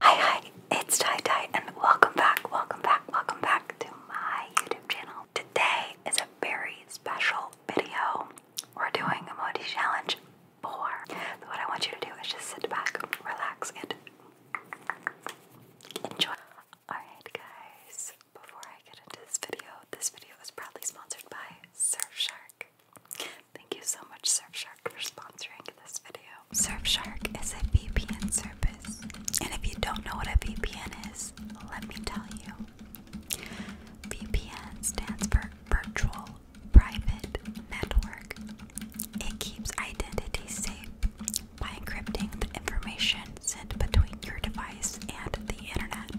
Hi, hi, it's Tai Tai, and welcome back, welcome back, welcome back to my YouTube channel. Today is a very special video. We're doing a Modi challenge four. But what I want you to do is just sit back, relax, and enjoy. Alright, guys, before I get into this video, this video is proudly sponsored by Surfshark. Thank you so much, Surfshark, for sponsoring this video. Surfshark is a VPN service, and if you don't know what a VPN is, let me tell you. VPN stands for Virtual private network. It keeps identity safe by encrypting the information sent between your device and the internet.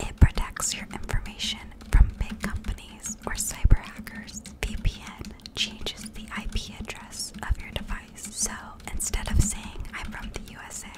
It protects your information from big companies or cyber hackers. VPN changes the IP address of your device. So instead of saying I'm from the USA,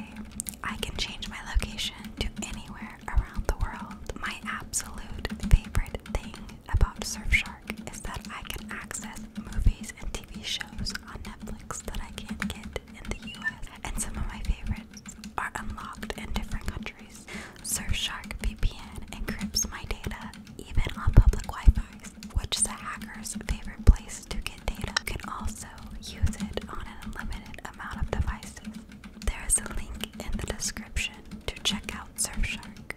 I can change my location to anywhere around the world. My absolute favorite thing about Surfshark is that I can access movies and TV shows on Netflix that I can't get in the US, and some of my favorites are unlocked in different countries. Surfshark VPN encrypts my data even on public wi fi which is a hacker's favorite place to get data. You can also use it on an unlimited amount of devices. There is a link in the description to check out Surfshark.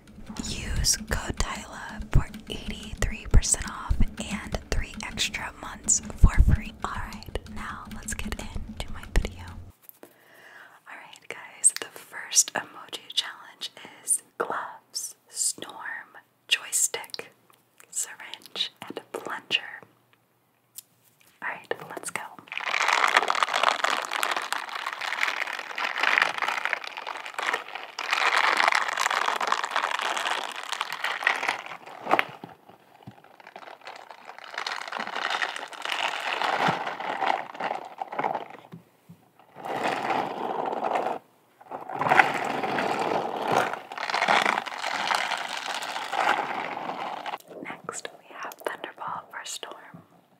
Use code Tyla for 83% off and 3 extra months for free. Alright, now let's get into my video. Alright, guys, the first emoji challenge is gloves, storm, joystick, syringe, and plunger. Alright, let's go. Next, we have Thunderball for Storm.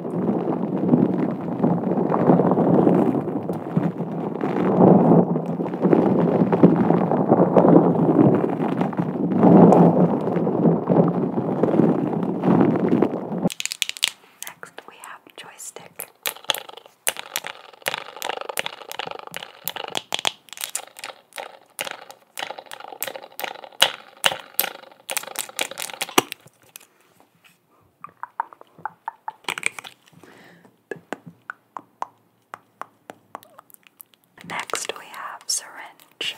Next, we have joystick. Next, we have syringe.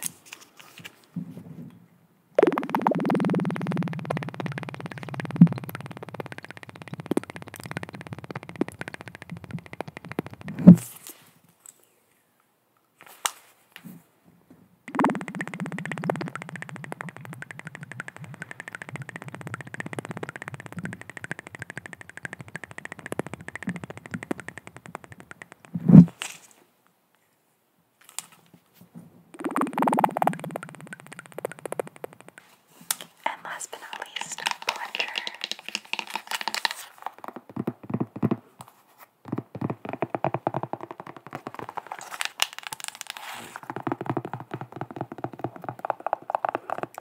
And last but not least, a plunger.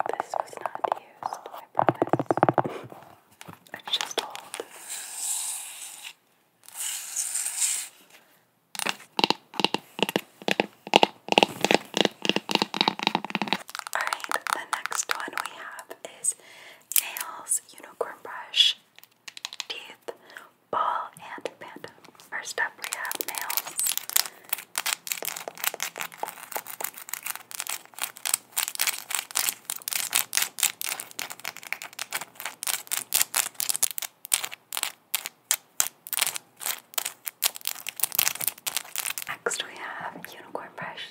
This was not used, I promise. it's just old. Alright, the next one we have is Nails Unicorn Brush Teeth Ball and Panda. First up, we have nails. Next, we have Unicorn Brush.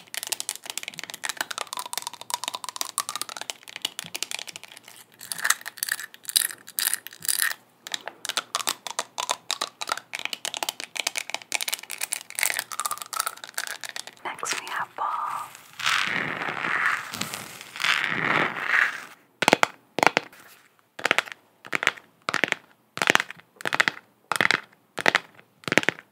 Next, we have ball.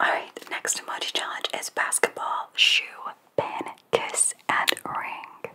Alright, next emoji challenge is basketball, shoe, pen, kiss, and ring.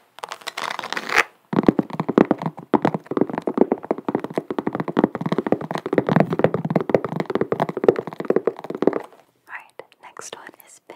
Alright, next one is Ben.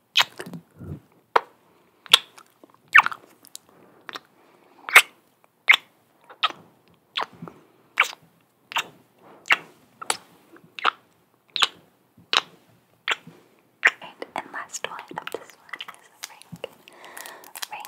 Right, and last one of this one is a ring. Ring.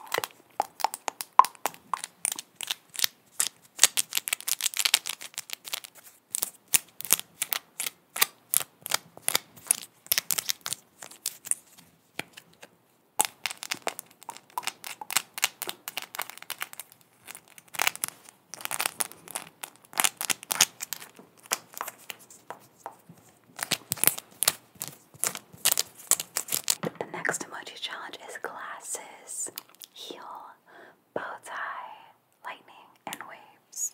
The next emoji challenge is glasses, heel, bow tie, lightning, and waves.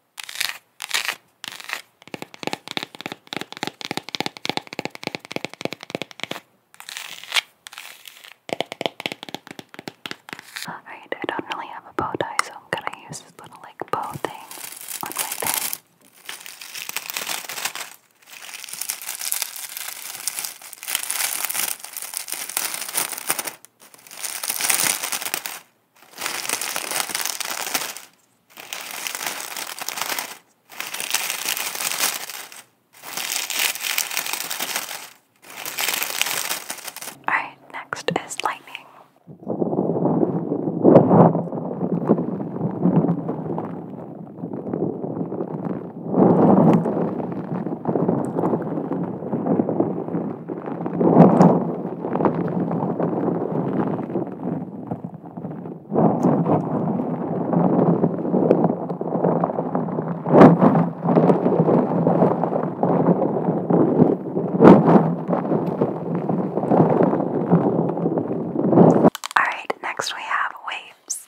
Alright, I don't really have a bow tie, so I'm gonna use this little like bow thing on my thing. All right, next is lightning. All right, next we have waves.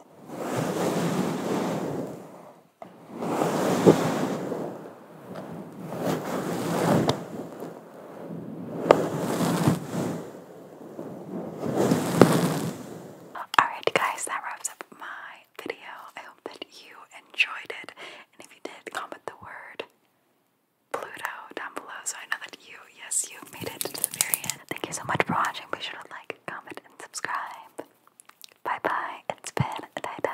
Alright, guys, that wraps up my video. I hope that you enjoyed it. And if you did, comment the word Pluto down below so I know that you, yes, you made it to the very end. Thank you so much for watching. Be sure to like, comment, and subscribe. Bye bye, it's been a die